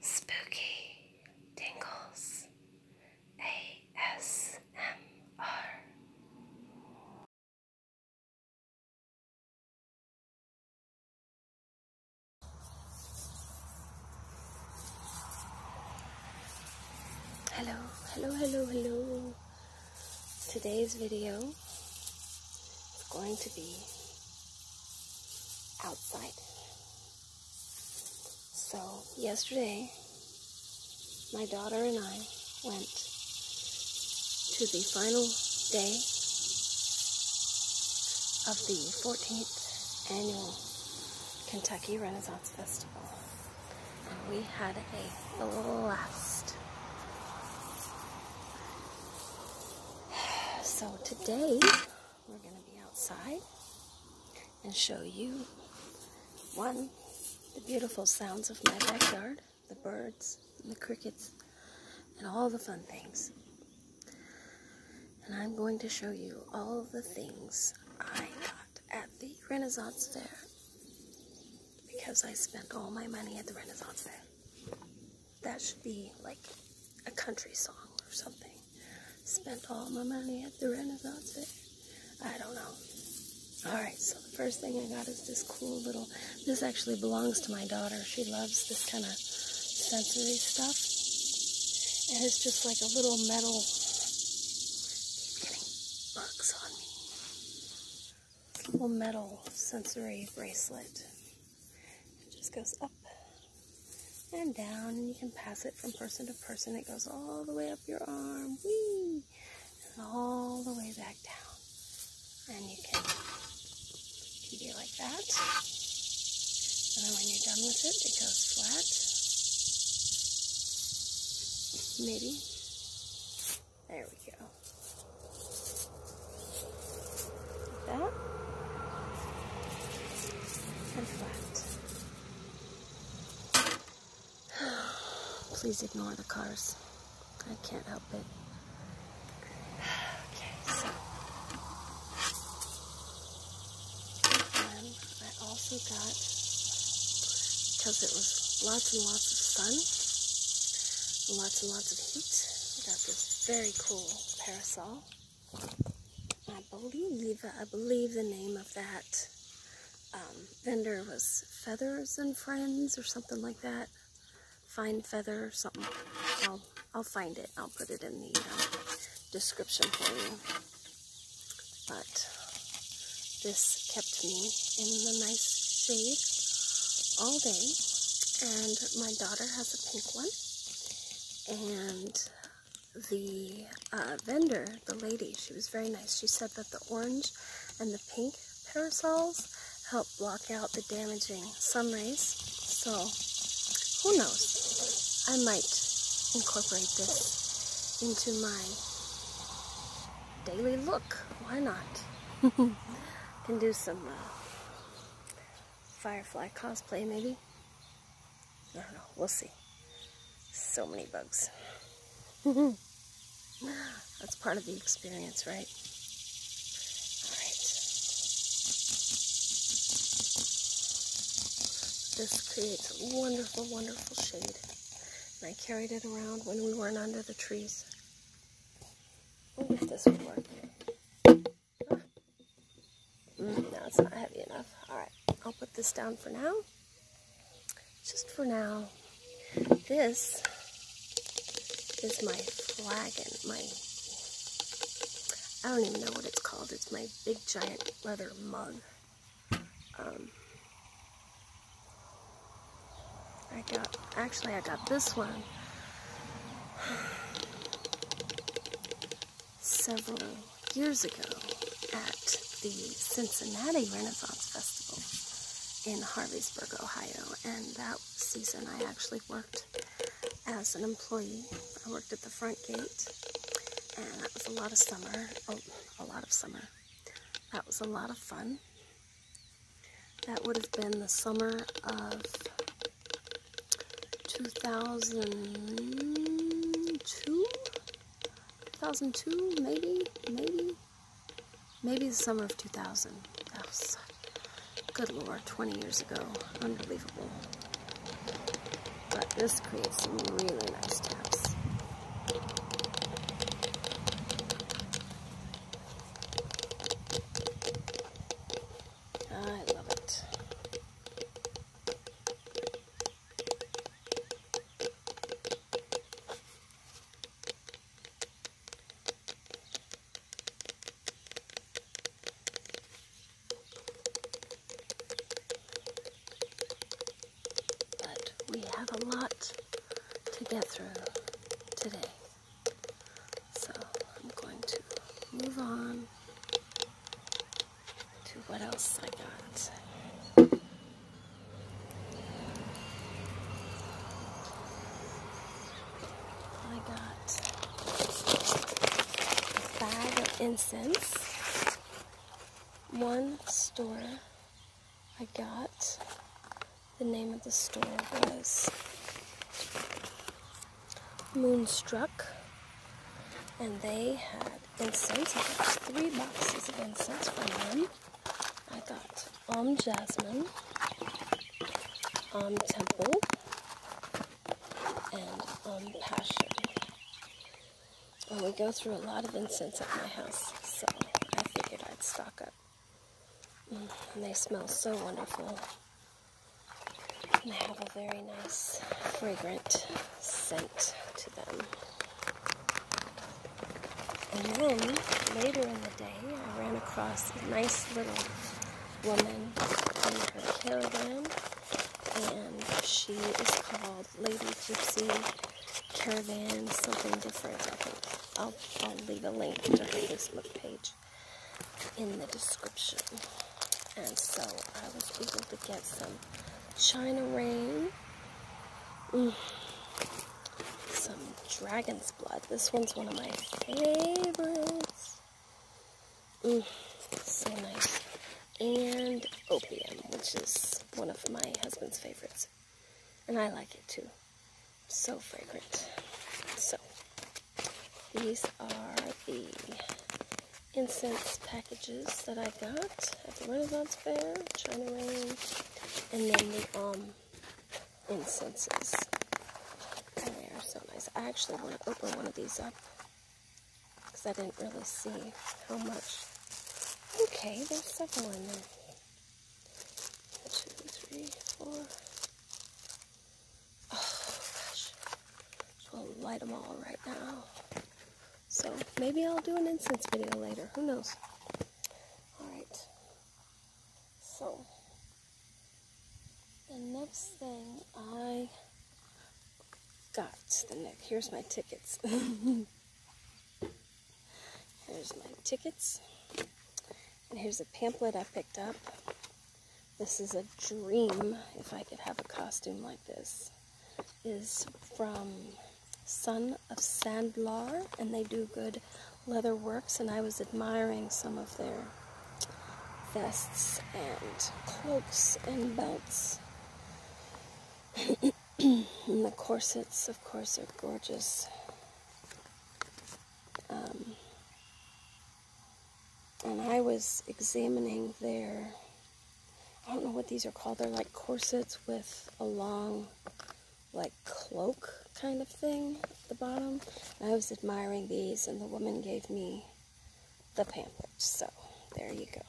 Spooky Tingles ASMR. Hello, hello, hello, hello. Today's video is going to be outside. So, yesterday, my daughter and I went to the final day of the 14th annual Kentucky Renaissance Festival. And we had a blast. So today we're going to be outside and show you one, the beautiful sounds of my backyard, the birds the crickets and all the fun things. And I'm going to show you all the things I got at the Renaissance Fair because I spent all my money at the Renaissance Fair that should be like a country song or something. Spent all my money at the Renaissance Fair. I don't know. Alright, so the first thing I got is this cool little, this actually belongs to my daughter. She loves this kind of sensory stuff. And it's just like a little metal, keep getting on me. Little metal sensory bracelet. It just goes up and down, and you can pass it from person to person. It goes all the way up your arm, wee, all the way back down. And you can do it like that. And then when you're done with it, it goes flat. Maybe. There we go that. And flat. Please ignore the cars. I can't help it. Okay, so. I also got, because it was lots and lots of sun, lots and lots of heat, got this very cool parasol. I believe, I believe the name of that um, vendor was Feathers and Friends or something like that. Fine Feather, something. I'll, I'll find it. I'll put it in the uh, description for you. But this kept me in the nice shade all day. And my daughter has a pink one and the uh, vendor, the lady, she was very nice. She said that the orange and the pink parasols help block out the damaging sun rays. So, who knows? I might incorporate this into my daily look. Why not? Can do some uh, firefly cosplay, maybe? I don't know. We'll see. So many bugs. That's part of the experience, right? All right. This creates a wonderful, wonderful shade. And I carried it around when we weren't under the trees. I if this would work. Mm, no, it's not heavy enough. All right, I'll put this down for now. Just for now. This is my flagon, my, I don't even know what it's called. It's my big giant leather mug. Um, I got, actually I got this one several years ago at the Cincinnati Renaissance Festival in Harveysburg, Ohio. And that season I actually worked as an employee. I worked at the front gate and that was a lot of summer, oh, a lot of summer. That was a lot of fun. That would have been the summer of 2002? 2002, maybe, maybe, maybe the summer of 2000. good lord, 20 years ago. Unbelievable. But this creates some really nice taps. I love it. But we have a lot to get through today. So I'm going to move on to what else I got. I got a bag of incense. One store I got, the name of the store was Moonstruck, and they had incense. I got three boxes of incense from them. I got Om Jasmine, Om Temple, and Om Passion. Well, we go through a lot of incense at my house, so I figured I'd stock up. Mm, and they smell so wonderful and they have a very nice fragrant scent to them. And then later in the day, I ran across a nice little woman in her caravan, and she is called Lady Gypsy Caravan, something different. I'll leave a link to her Facebook page in the description. And so I was able to get some China Rain, mm. some Dragon's Blood. This one's one of my favorites. Mm. So nice. And Opium, which is one of my husband's favorites. And I like it too. So fragrant. So these are the incense packages that I got at the Renaissance Fair, China Rain, and then the um, incenses. they are so nice. I actually want to open one of these up because I didn't really see how much. Okay, there's several in there. Two, three, four, Oh gosh. Just will light them all right now. So maybe I'll do an incense video later. Who knows? Alright. So the next thing I got the neck. Here's my tickets. here's my tickets. And here's a pamphlet I picked up this is a dream if I could have a costume like this, is from Son of Sandlar, and they do good leather works, and I was admiring some of their vests and cloaks and belts. and the corsets, of course, are gorgeous. Um, and I was examining their, I don't know what these are called. They're like corsets with a long, like cloak kind of thing at the bottom. I was admiring these, and the woman gave me the pamphlet. So there you go.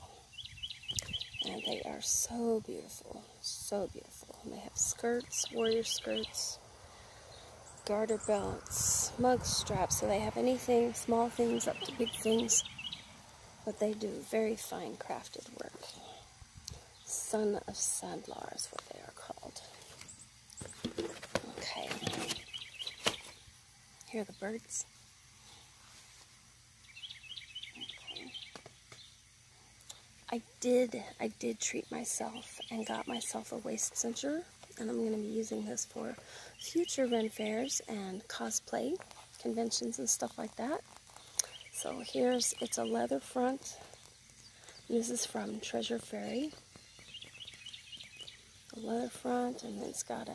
And they are so beautiful, so beautiful. they have skirts, warrior skirts, garter belt, Smug straps. So they have anything, small things up to big things. But they do very fine crafted work. Son of Sadlar is what they are called. Okay. Here are the birds. I did, I did treat myself and got myself a waist cincher and I'm going to be using this for future Ren fairs and cosplay conventions and stuff like that. So here's, it's a leather front. This is from Treasure Fairy. A leather front and it's got a,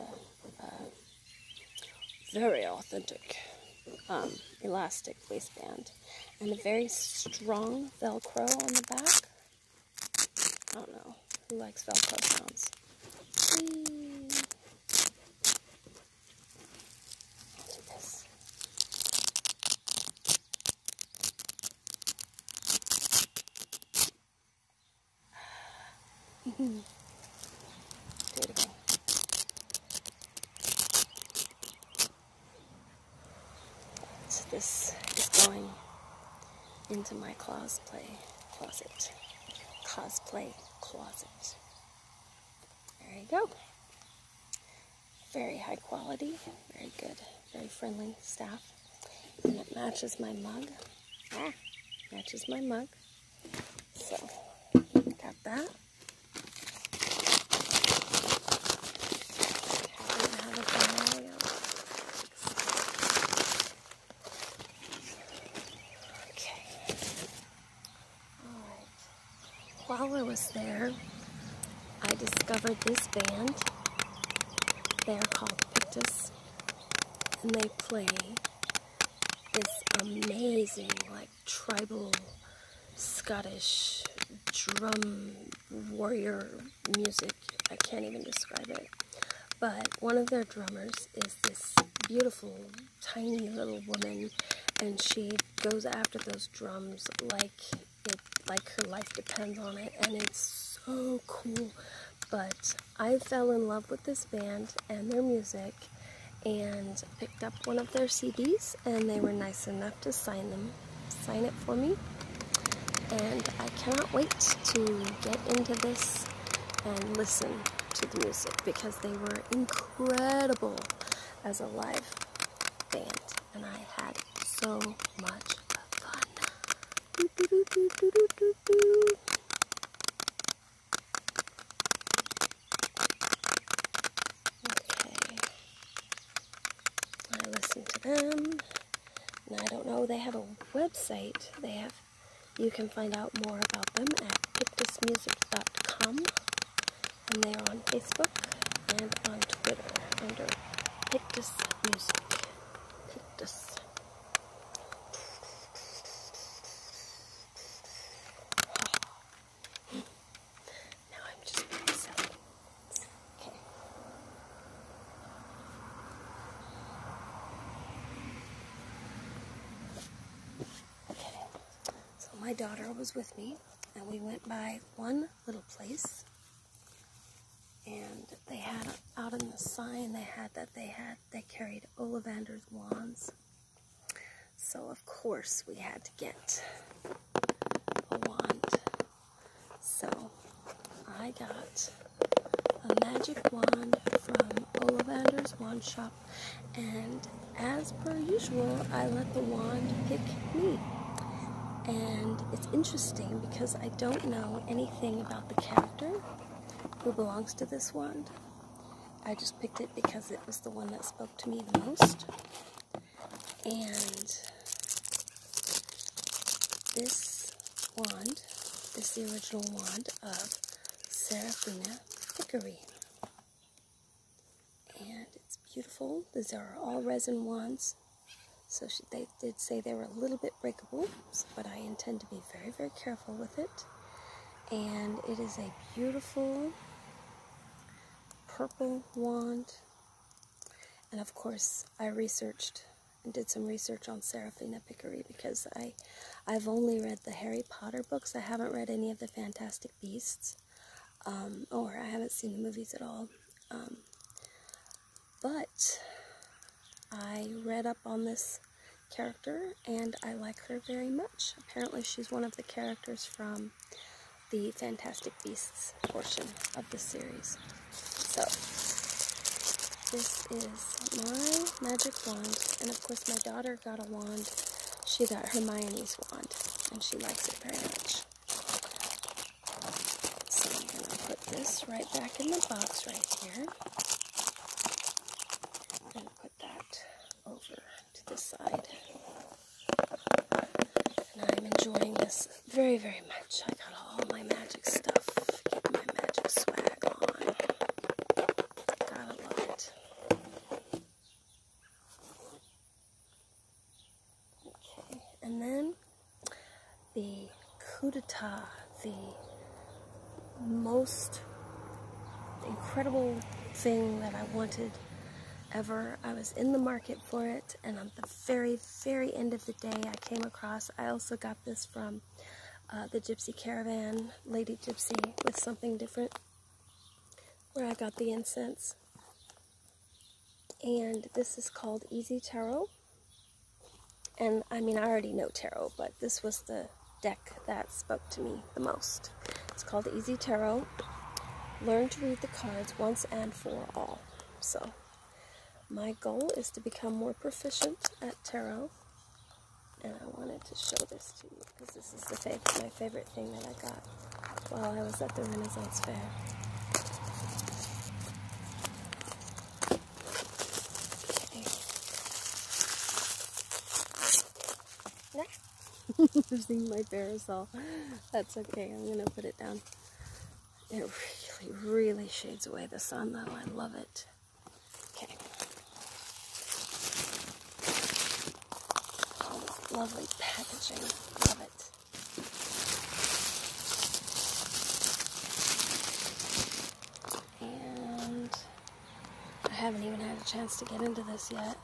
very authentic um, elastic waistband and a very strong velcro on the back I don't know. Who likes Velcro sounds? this. this is going into my cosplay closet. Cosplay closet. There you go. Very high quality, very good, very friendly staff. And it matches my mug. Ah, matches my mug. So, got that. Okay. Alright. While I was there, I discovered this band. They're called Pictus. And they play this amazing, like, tribal Scottish drum warrior music. I can't even describe it. But one of their drummers is this beautiful, tiny little woman, and she goes after those drums like like her life depends on it, and it's so cool. But I fell in love with this band and their music, and picked up one of their CDs, and they were nice enough to sign them, sign it for me, and I cannot wait to get into this and listen to the music because they were incredible as a live band and I had so much fun. okay. I listened to them. And I don't know, they have a website. They have you can find out more about them at pictusmusic.com, and they are on Facebook and on Twitter under Pictus now I'm just being silly. Okay. So my daughter was with me, and we went by one little place. And they had out on the sign they had that they had they carried Ollivander's wands. So of course we had to get a wand. So I got a magic wand from Ollivander's Wand Shop, and as per usual, I let the wand pick me. And it's interesting because I don't know anything about the character who belongs to this wand. I just picked it because it was the one that spoke to me the most. And this wand is the original wand of Seraphina Hickory. And it's beautiful. These are all resin wands. So they did say they were a little bit breakable, but I intend to be very, very careful with it. And it is a beautiful purple wand. And of course, I researched and did some research on Seraphina Pickery because I, I've only read the Harry Potter books. I haven't read any of the Fantastic Beasts, um, or I haven't seen the movies at all. Um, but I read up on this character and I like her very much. Apparently she's one of the characters from the Fantastic Beasts portion of the series. So this is my magic wand. And of course, my daughter got a wand. She got Hermione's wand. And she likes it very much. So I'm going to put this right back in the box right here. i put that over to the side. And I'm enjoying this very, very much. I got all my magic stuff. my magic swag on. Got a lot. Okay, and then the coup d'etat, the most incredible thing that I wanted ever. I was in the market for it, and on the very, very end of the day, I came across, I also got this from uh, the Gypsy Caravan, Lady Gypsy, with something different, where I got the incense. And this is called Easy Tarot. And I mean, I already know tarot, but this was the deck that spoke to me the most. It's called Easy Tarot. Learn to read the cards once and for all. So, my goal is to become more proficient at tarot and I wanted to show this to you because this is my favorite thing that I got while I was at the Renaissance Fair. Next, Losing my parasol. That's okay. I'm gonna put it down. It really, really shades away the sun, though. I love it. Okay. lovely packaging. Love it. And I haven't even had a chance to get into this yet.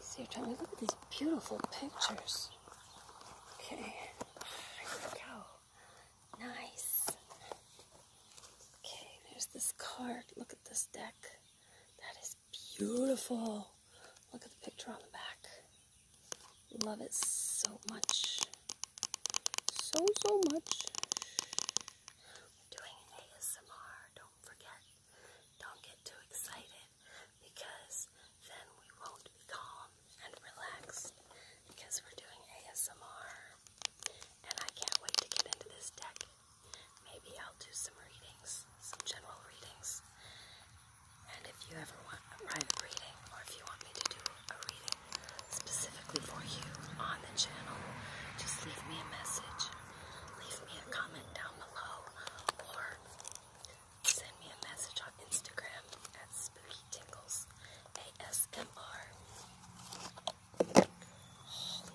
See, tell me, look at these beautiful pictures. Okay. go. Nice. Okay, there's this card. Look at this deck. That is beautiful. Look at the picture on the back. Love it so much. So, so much. doing ASMR. Don't forget. Don't get too excited because then we won't be calm and relaxed because we're doing ASMR. And I can't wait to get into this deck. Maybe I'll do some readings, some general readings. And if you ever want a private reading, or if you want me to do a reading specifically for you on the channel, just leave me a message. Leave me a comment down below, or send me a message on Instagram at Spooky Tingles ASMR look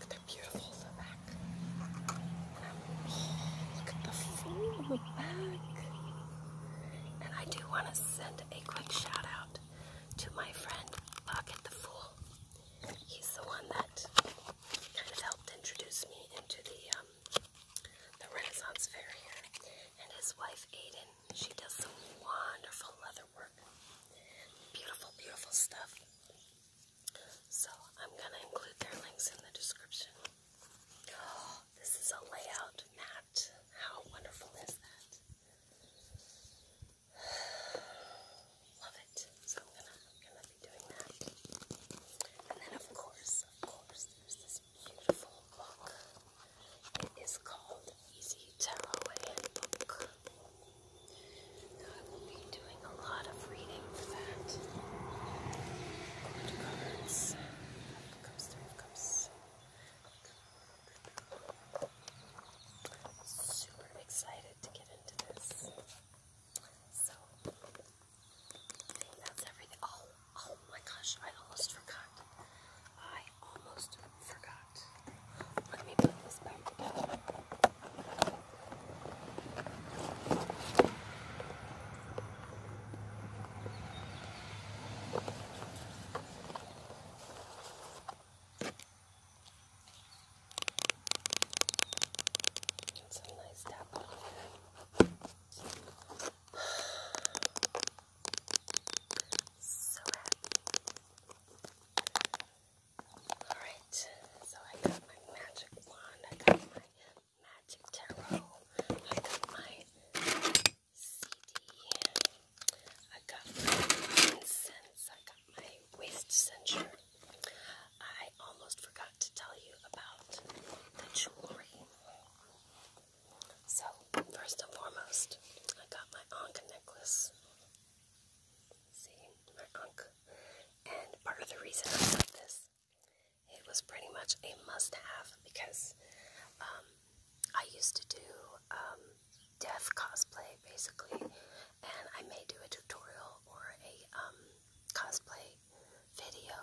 at their beautiful in the back. Oh, look at the food in the back. And I do want to send a quick shout out to my friend Pocket the Fool. He's the one that kind of helped introduce me into the um, Renaissance Fair here. And his wife Aiden, she does some wonderful leatherwork. Beautiful, beautiful stuff. So I'm gonna include their links in the description. this is a layout mat. How wonderful is that? Love it. So I'm gonna be doing that. And then of course, of course, there's this beautiful book. It is called Easy Tarot Handbook. I will be doing a lot of reading for that. Super excited to get into this. So that's everything. oh, oh my gosh, I almost forgot. I almost forgot that. Let me put this back together. That's a nice tap on here. So happy. Alright, so I got my magic wand, I got my magic tarot, I got my CD, I got my incense, I got my waist censure. I almost forgot to tell you about the jewelry. So, first and foremost, I got my Anka necklace. See, my unk. And part of the reason I got this, it was pretty much a must-have because um, I used to do um, deaf cosplay, basically, and I may do a tutorial or a um, cosplay video.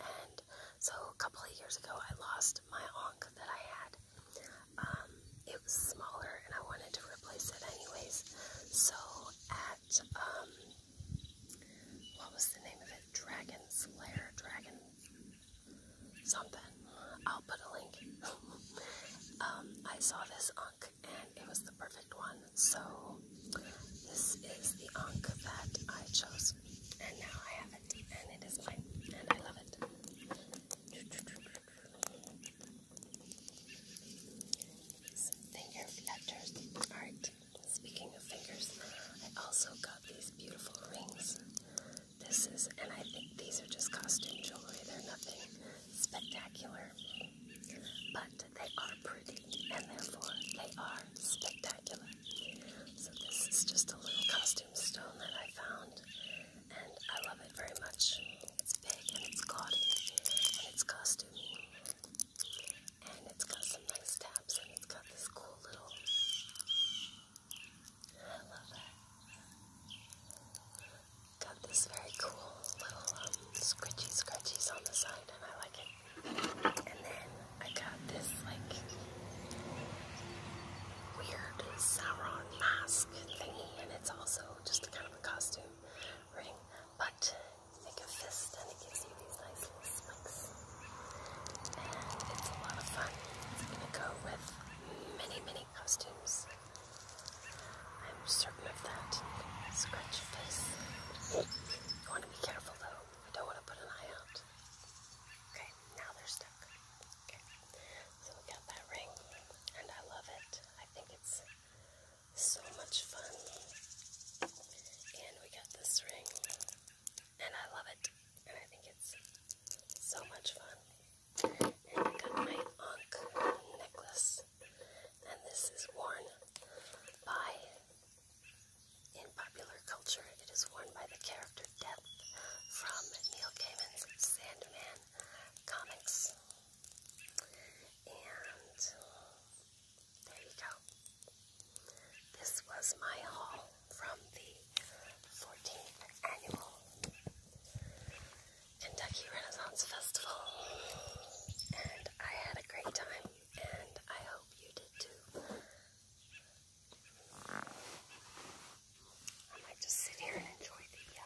And so a couple of years ago, I lost my onk that I had, um, it was smaller and I wanted to replace it anyways. So at, um, what was the name of it? Dragon Slayer, Dragon something. I'll put a link. Um, I saw this unk, and it was the perfect one. So this is the unk that I chose. And now I have it. And it is mine. And I love it. Finger flutters. Alright, speaking of fingers, I also got these beautiful rings. This is, and I think these are just costume jewelry. They're nothing spectacular, but they are pretty, and therefore they are spectacular. So this is just a little costume stone that I found, and I love it very much it's big and it's gaudy and it's costuming and it's got some nice tabs and it's got this cool little. I love it. Got this very cool little um, scritchy on the side and I like it. And then I got this like weird Sauron mask thingy and it's also just kind of costume ring, but make a fist and it gives you these nice little spikes. it's a lot of fun. It's going to go with many, many costumes. I'm certain of that. Scratch your face. You want to be careful though. I don't want to put an eye out. Okay, now they're stuck. so we got that ring, and I love it. I think it's so much fun. And we got this ring, and I love it, and I think it's so much fun. And I got my Ankh necklace, and this is worn by, in popular culture, it is worn by the character Death from Neil Gaiman's Sandman comics. And there you go. This was my haul from the 14th annual Kentucky Renaissance Festival. And I had a great time, and I hope you did too. I just sit here and enjoy the uh,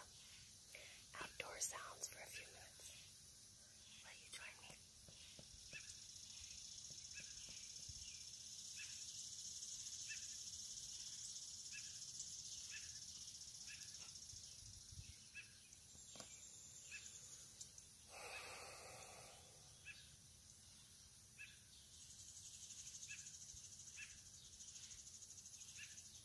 outdoor sounds for a few minutes. Will you join me?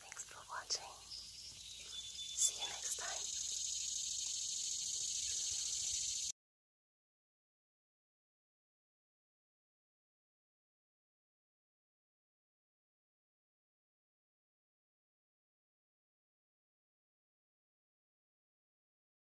Thanks for watching. See you next time.